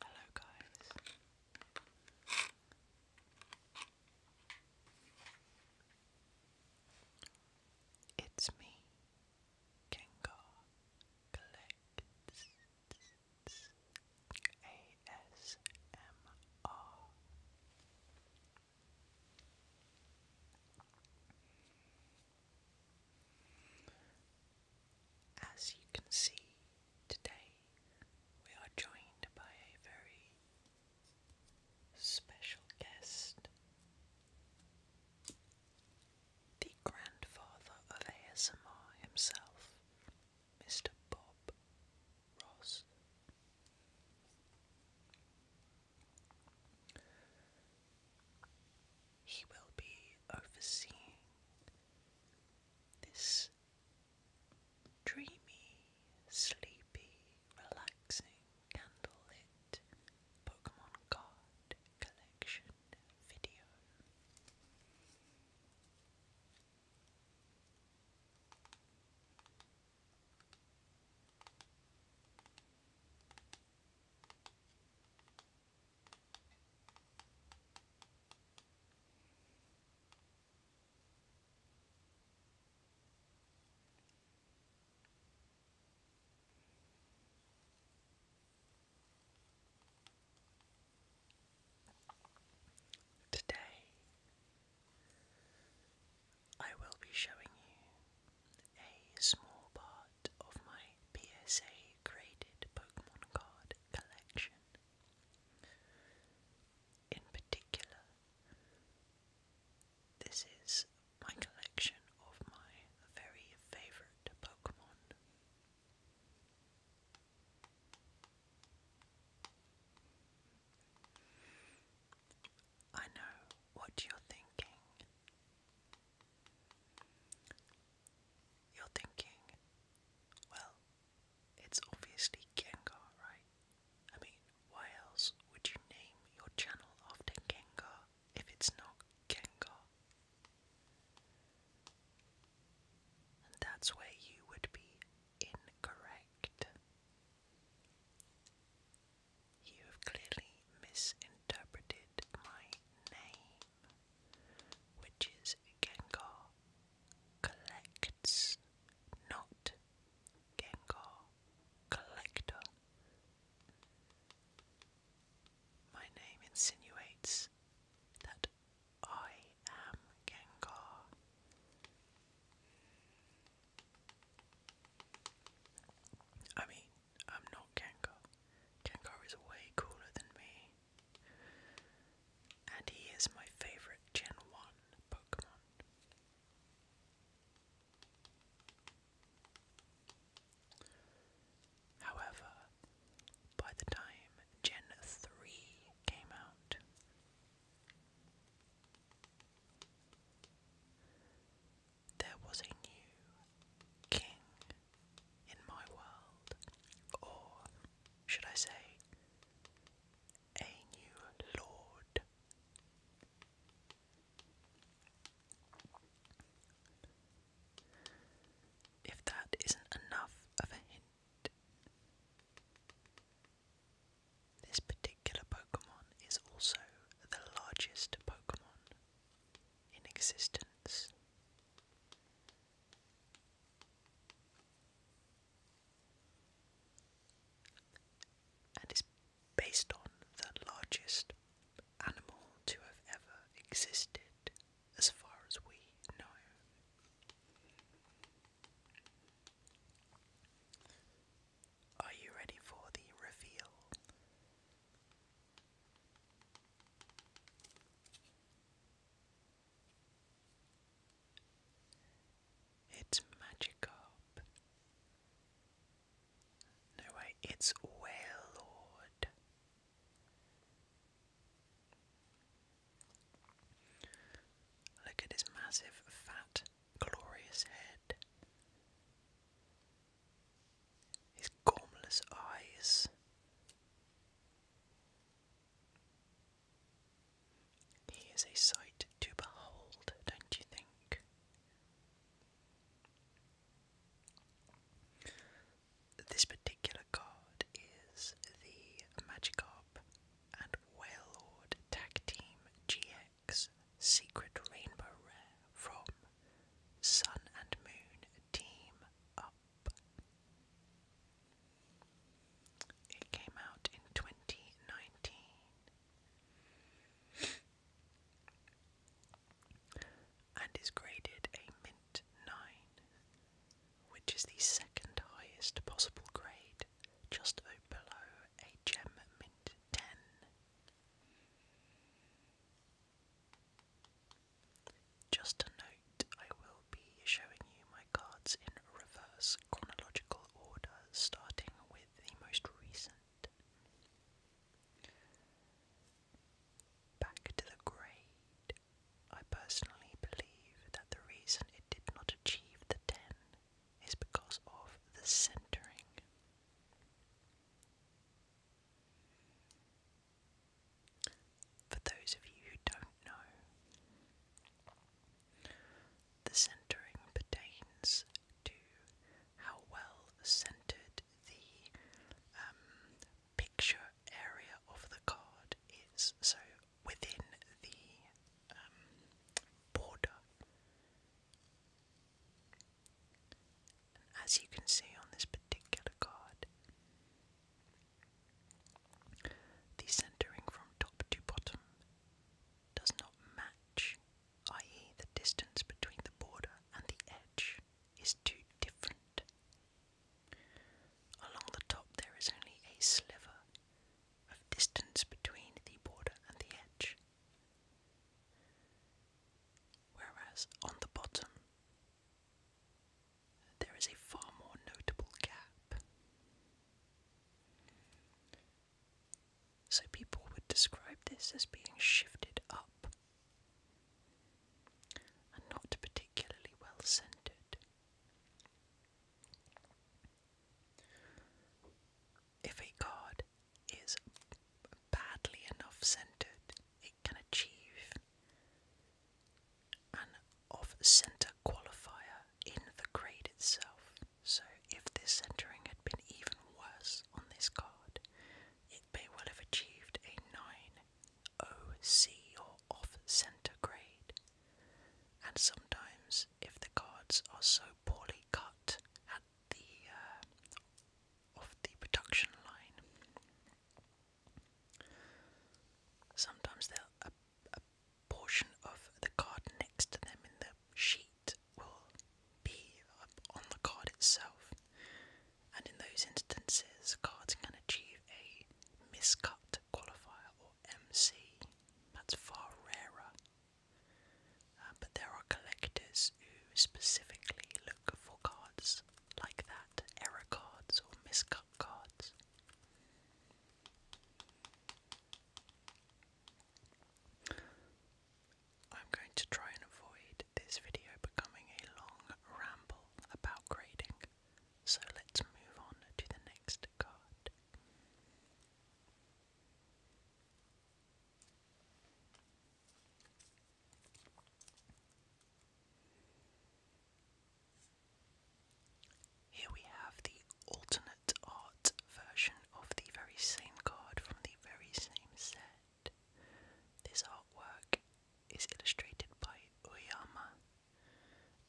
Hello, guys. It's me, Gengar ASMR. As you can see, today we are joined by a very Special guest. The grandfather of ASMR himself, Mr. Bob Ross. He will be overseeing this dreamy, sleepy relaxing candlelit Pokemon card collection video. Today, I will be showing you a small part of my PSA graded Pokemon card collection. In particular, this is my collection of my very favourite Pokemon. I know what you're thinking. You're thinking, well, it's obviously Gengar, right? I mean, why else would you name your channel after Gengar if it's not Gengar? And that's where you would be incorrect. You have clearly misinterpreted my name, which is Gengar collects, not Gengar Collector. My name insinuates that I am Gengar. I mean, I'm not Gengar. Gengar is way cooler than me. And he is my favorite Gen 1 Pokemon. However, by the time Gen 3 came out, there was a new king in my world, or should I say, a new lord. If that isn't enough of a hint, this particular Pokemon is also the largest Pokemon in existence. And is based on the largest animal to have ever existed, as far as we know. Are you ready for the reveal? It's Magikarp. No way, it's Wailord. Look at his massive, fat, glorious head. His gormless eyes. He is a sight to behold, don't you think? This particular card is the Magikarp and Wailord Tag Team GX Secret Rainbow Rare from Sun and Moon Team Up. It came out in 2019 and is graded a mint 9, which is the second highest possible grade, just below a gem mint 10. Just a note, I will be showing you my cards in reverse chronological order, starting with the most recent Back to the grade. I personally believe that the reason it did not achieve the 10 is because of the centering. For those of you who don't know, the centering pertains to how well centered the um, picture area of the card is. So within the um, border. as you can see on this particular card, the centering from top to bottom does not match i.e., the distance between the border and the edge, is too different. Along the top, there is only a sliver of distance between the border and the edge, whereas on the bottom, there is a far more notable gap. So people would describe this as being shifted up and not particularly well centered. If a card is badly enough centered, it can achieve an off center qualifier in the grade itself. So, if this centering had been even worse on this card, it may well have achieved a 9 OC or off centre grade. And sometimes, if the cards are so poorly cut at the uh, the production line, sometimes they a portion of the card next to them in the sheet will be on the card itself, and in those instances, cards can achieve a miscut qualifier or MC. That's far rarer. Uh, but there are collectors who specifically look for cards like that error cards or miscut cards. I'm going to try and avoid this video becoming a long ramble about grading, so let's move on to the next card. Here we have the alternate art version of the very same card from the very same set. This artwork is illustrated by Uyama,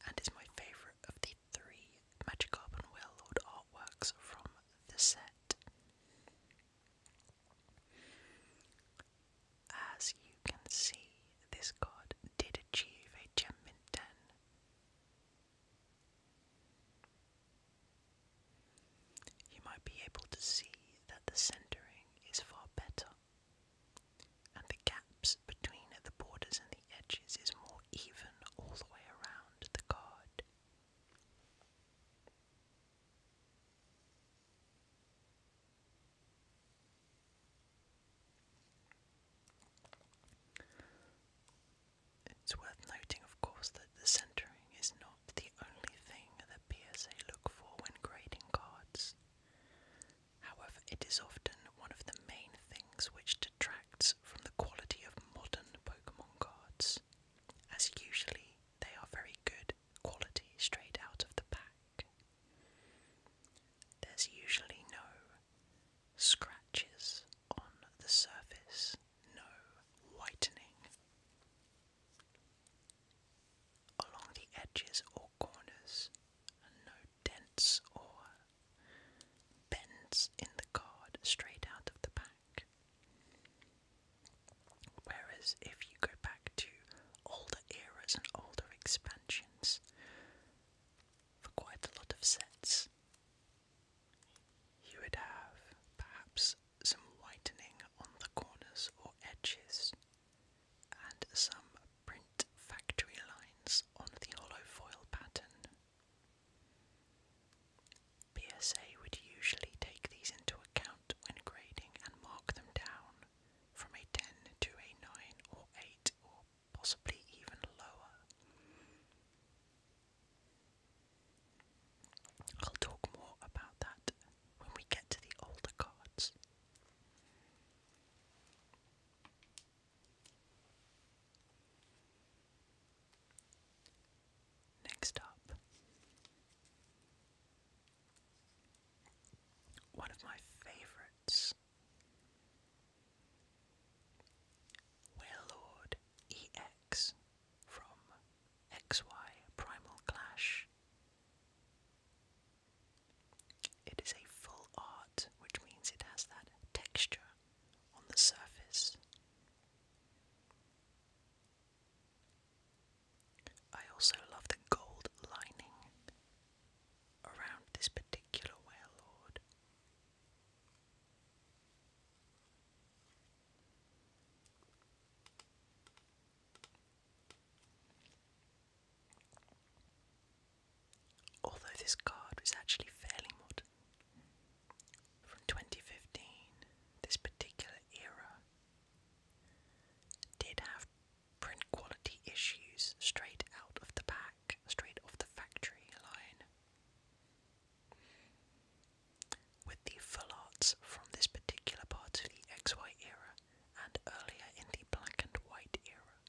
and is my favourite of the three Magikarp and Wailord artworks from the set. As you can see, this card did achieve a gem mint 10. You might be able to see that the centering is far better, and the gaps between the borders and the edges is more even all the way around the card. It's worth noting, of course, that the centering is not the only thing that PSA look for when grading cards. However, it is often one of the main things which detracts from the quality of modern Pokemon cards, as usually they are very good quality straight out of the pack. There's usually no scratches on the surface no whitening. Along the edges or corners, no dents or bends in the card straight out of the pack. Whereas if you go back to older eras and older expansions, for quite a lot of sets, you would have perhaps some whitening on the corners or edges, and some print factory lines on the hollow foil pattern. PSA would usually take these into account when grading and mark them down from a 10 to a 9 or 8 or possibly even lower. I'll talk more about that when we get to the older cards. Next up, one of my favorites. Where EX from XY Primal Clash. It is a full art, which means it has that texture on the surface. I also love the gold lining around this particular Warelord. Although this card was actually fairly modern, from 2015, this particular era did have print quality issues straight out of the pack, straight off the factory line. With the full from this particular part of the XY era and earlier in the black and white era,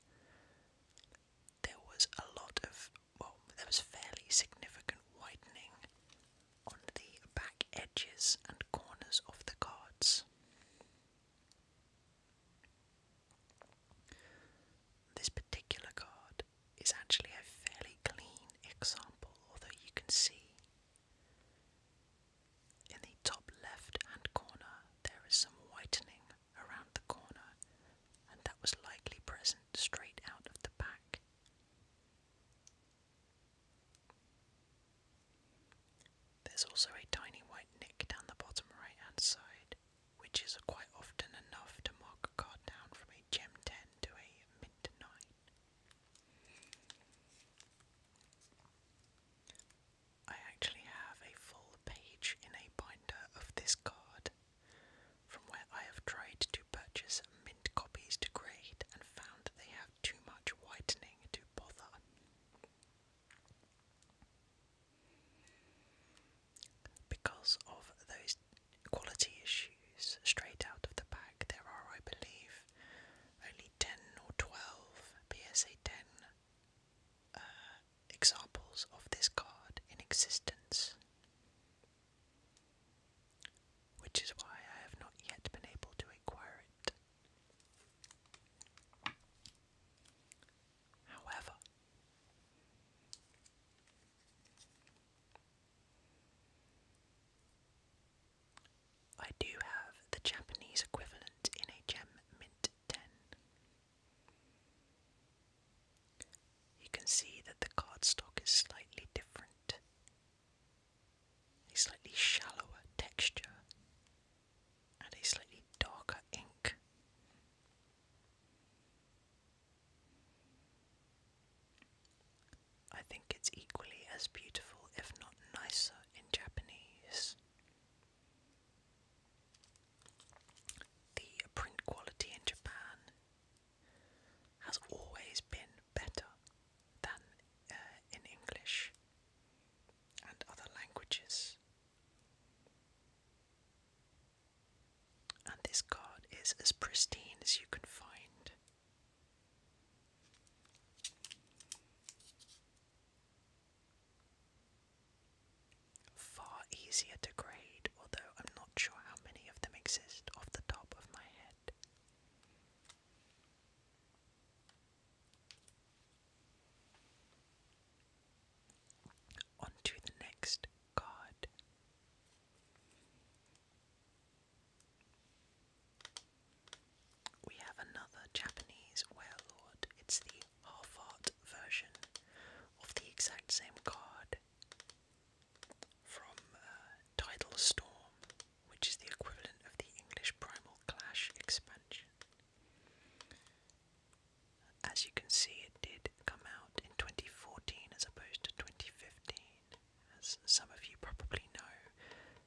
there was a lot of, well, there was fairly significant widening on the back edges and corners of the cards. This particular card is actually a fairly clean example, although you can see in the top left hand corner, there is some whitening around the corner, and that was likely present straight out of the back. There's also a tiny white nick down the bottom right hand side, which is quite often enough to mark a card down from a gem 10 to a mint 9. I actually have a full page in a binder of this card from where I have tried to purchase mint copies to grade and found that they have too much whitening to bother. Because of those quality issues straight out of the bag, there are, I believe, only 10 or 12, PSA 10 uh, examples of this card in existence, which is why I have not yet been able to acquire it. However, I do have the Japanese equivalent in a gem mint ten. You can see that the cardstock is slightly different, a slightly shallower texture, and a slightly darker ink. I think it's equally as beautiful, if not nicer, in Japanese. The print quality in Japan has always been better than uh, in English and other languages. And this card is as pristine as you can find. Far easier to grade, although I'm not sure how many of them exist off the top of my head. On to the next card. We have another Japanese Werelord. It's the half art version of the exact same card from uh, Tidal Storm, which is the equivalent of the English Primal Clash expansion. As you can see, it did come out in 2014 as opposed to 2015. As some of you probably know,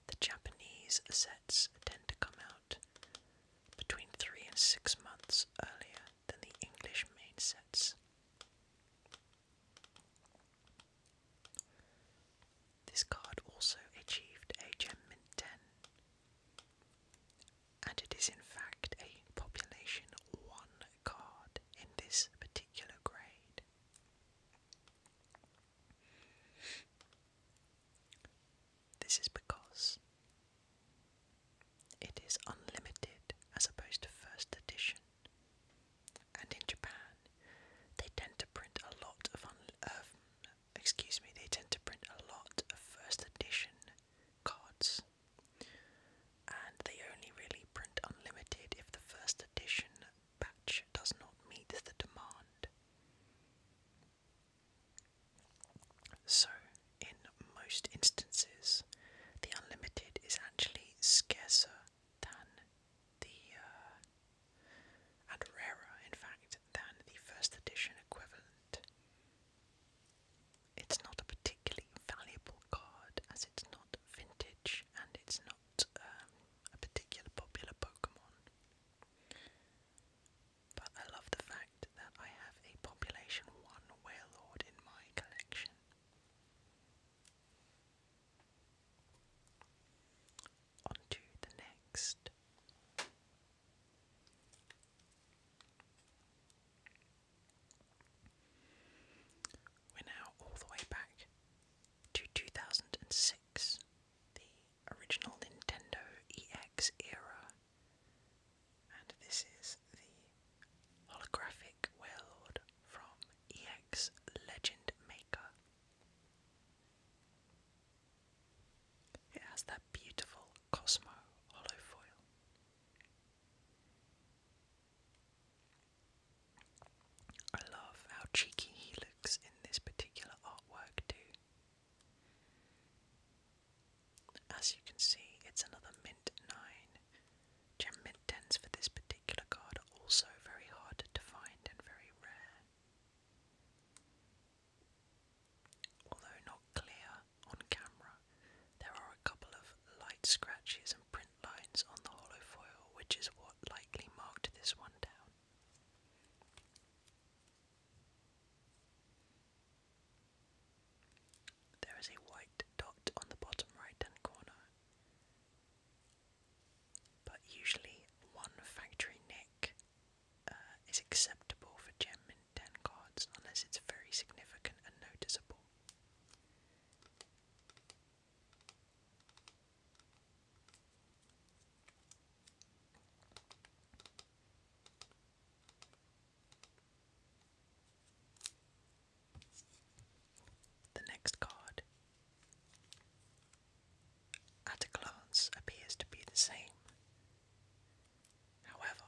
the Japanese sets tend to come out between three and six months earlier than the English main sets. This card also achieved a gem mint 10, and it is in fact a population 1 card in this particular grade. This is because it is unlimited as opposed to first edition. And in Japan, they tend to print a lot of, un- excuse me, they tend to print a lot of first edition cards. And they only really print unlimited if the first edition batch does not meet the demand. So, in most instances, the unlimited is actually scarcer than the, uh, and rarer, in fact, than the first edition equivalent. It's not a particularly valuable card as it's not vintage and it's not um, a particular popular Pokemon. But I love the fact that I have a population 1 whale lord in my collection. On to the next. We're now all the way back to 2006, the original Nintendo EX era, and this is the holographic world from EX Legend Maker. It has that beautiful Cosmo holofoil. I love how cheeky he looks in this particular artwork, too. As you can see, it's another mint 9. Gem mint 10s for this particular card also very hard to find and very rare. Although not clear on camera, there are a couple of light scratches and print lines on the hollow foil, which is what likely marked this one down. There is a white dot on the bottom right hand corner, but usually one factory nick uh, is acceptable for gem 10 cards unless it's very significant and noticeable. The next card, at a glance, appears to be the same. However,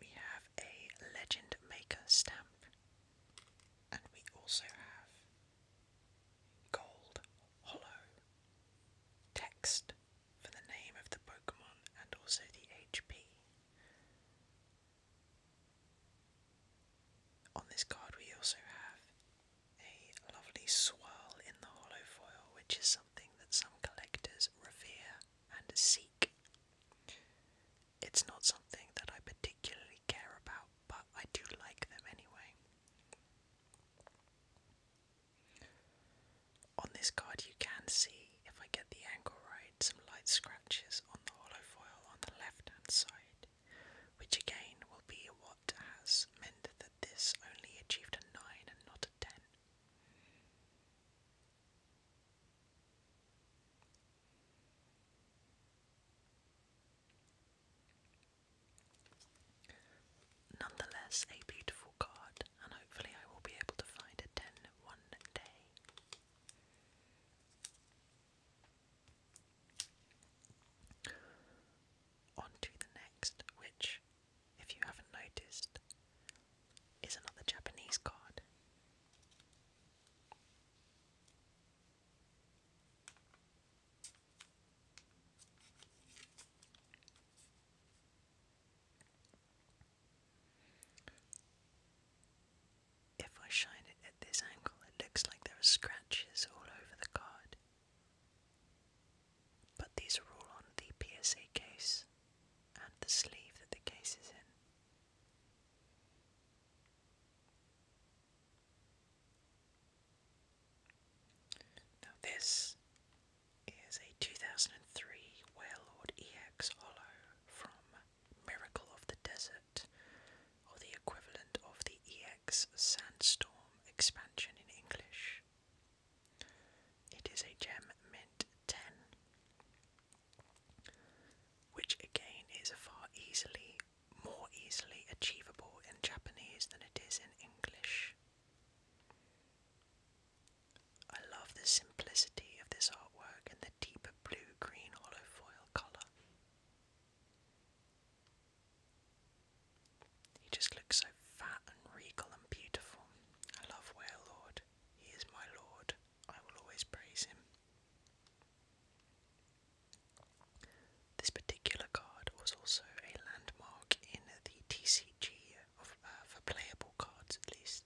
we have a Legend Maker stamp, and we also have Gold Hollow. Text for the name of the Pokemon and also the HP. On this card, we also have a lovely swirl in the hollow foil, which is something that some collectors revere and seek. It's not something that I particularly care about but I do like them anyway. On this card, you can see, if I get the angle right, some light scratches on the hollow foil on the left hand side, which again will be what has meant that this only achieved a 9 and not a 10. Nonetheless, a beautiful card, and hopefully, I will be able to find a 10 one On to the next, which, if you haven't noticed, is another Japanese card. If I shine it at this angle, it looks like there are scratches all over the card. But these are all on the PSA case and the sleeve that the case is in. Now, this is a 2003 Warlord EX Holo from Miracle of the Desert, or the equivalent of the EX Sandstorm expansion in English. It is a Gem Mint 10, which again is a far easily more easily achievable in Japanese than it is in English. I love the simplicity of this artwork and the deeper blue green hollow foil colour. He just looks so fat and regal and beautiful. I love Ware He is my lord. I will always praise him. This particular card was also a landmark in the TCG of, uh, for playable cards, at least,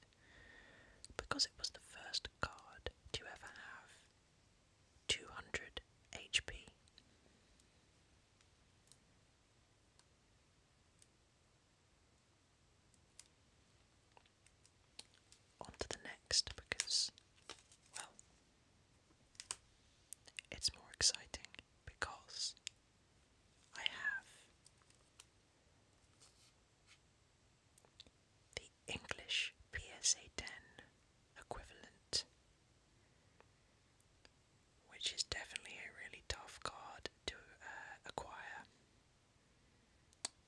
because it was the first card to ever have 200 HP. On to the next because, well, it's more exciting because I have the English PSA 10 equivalent, which is definitely a really tough card to uh, acquire,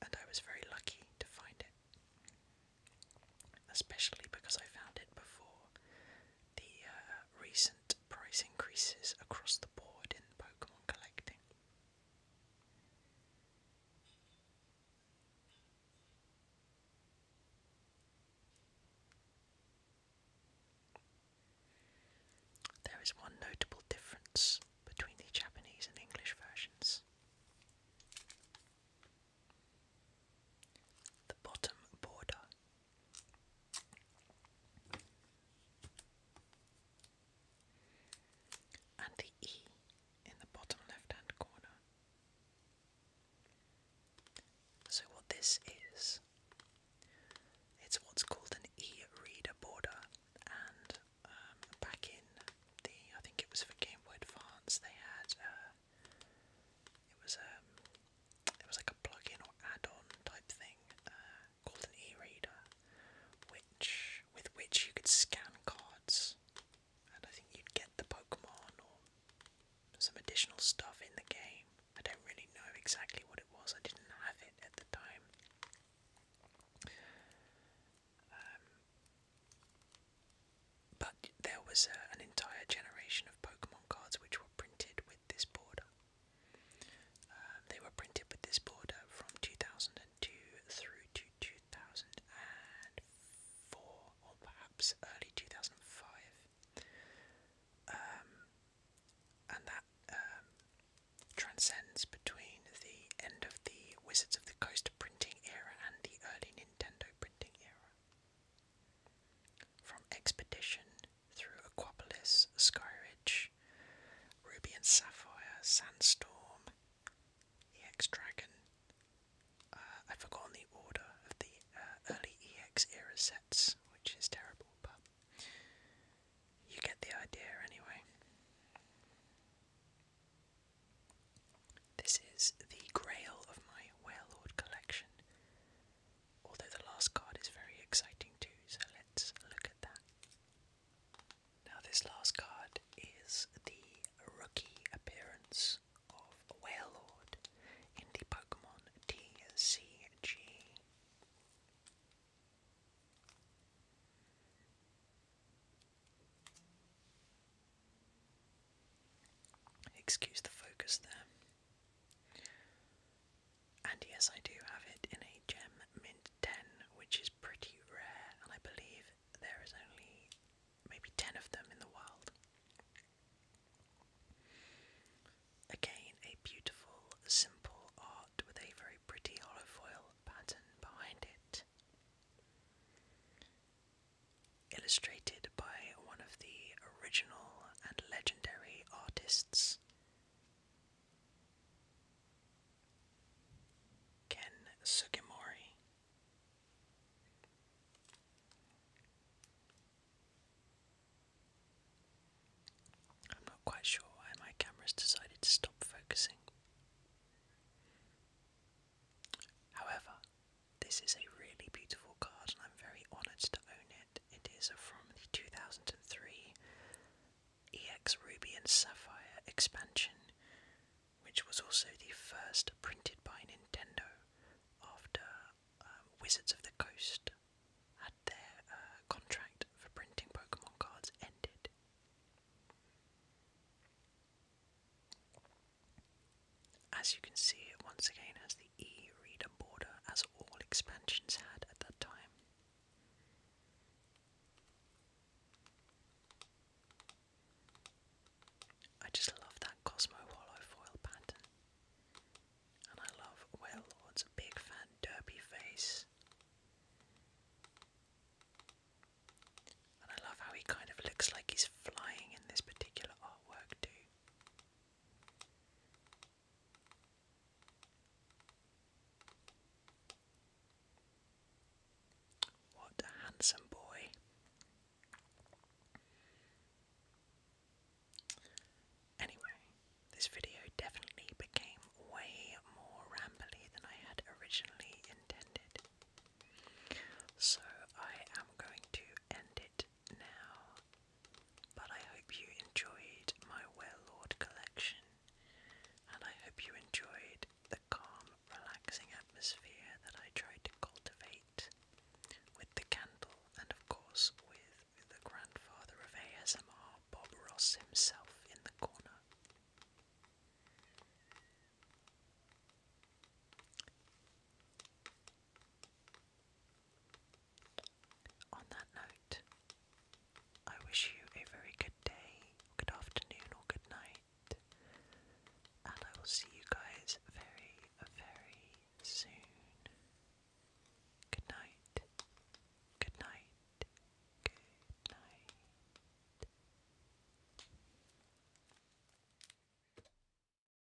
and I was very lucky to find it especially because I found it before the uh, recent price increases across the board in Pokemon collecting. There is one notable difference between the Japanese and English versions. The bottom border. And the E in the bottom left hand corner. So, what this is, it's what's called an e reader border, and um, back in the, I think it was for Game Boy Advance, they had uh, it was um, it was like a plug-in or add-on type thing uh, called an e-reader, which with which you could scan cards, and I think you'd get the Pokemon or some additional stuff in the game. I don't really know exactly what it was. I didn't have it at the time. Um, but there was uh, an entire generation of Pokemon cards which were printed with this border. Um, they were printed with this border from 2002 through to 2004, or perhaps early 2005. Um, and that um, transcends between the end of the Wizards of the Coast printing era and the early Nintendo printing era. From Expedition through Aquapolis, Ridge, Ruby and Sapphire, Sandstorm, EX Dragon. Uh, I've forgotten the order of the uh, early EX era sets, which is terrible, but you get the idea anyway. This is the grail of my Warlord collection. Although the last card is very exciting too, so let's look at that. Now, this last card is the rookie appearance of Warlord in the Pokemon TCG. Excuse the focus there. And yes, I do have it in a gem mint 10, which is pretty rare, and I believe there is only maybe 10 of them in the world. Again, a beautiful, simple art with a very pretty holofoil pattern behind it illustrated by one of the original and legendary artists, Ken Sugimori. I'm not quite sure why my camera's decided to stop focusing. However, this is a really beautiful card, and I'm very honoured to own it. It is from the 2003 EX Ruby and Sapphire expansion, which was also the first printed by Nintendo after um, Wizards of the Coast had their uh, contract for printing Pokemon cards ended. As you can see, it once again has the e-reader border, as all expansions had at that time. I just love that Cosmo Holofoil pattern. And I love Wellord's big fat derpy face. And I love how he kind of looks like he's flying in this particular artwork too. What a handsome boy. Anyway, this video definitely became way more rambly than I had originally intended. So I am going to end it now, but I hope you enjoyed my Well-Lord collection, and I hope you enjoyed the calm, relaxing atmosphere that I tried to cultivate with the candle and, of course, with the grandfather of ASMR, Bob Ross himself, in the corner. On that note, I wish you a very good day, good afternoon, or good night, and I will see you guys very, very soon. Good night, good night, good night.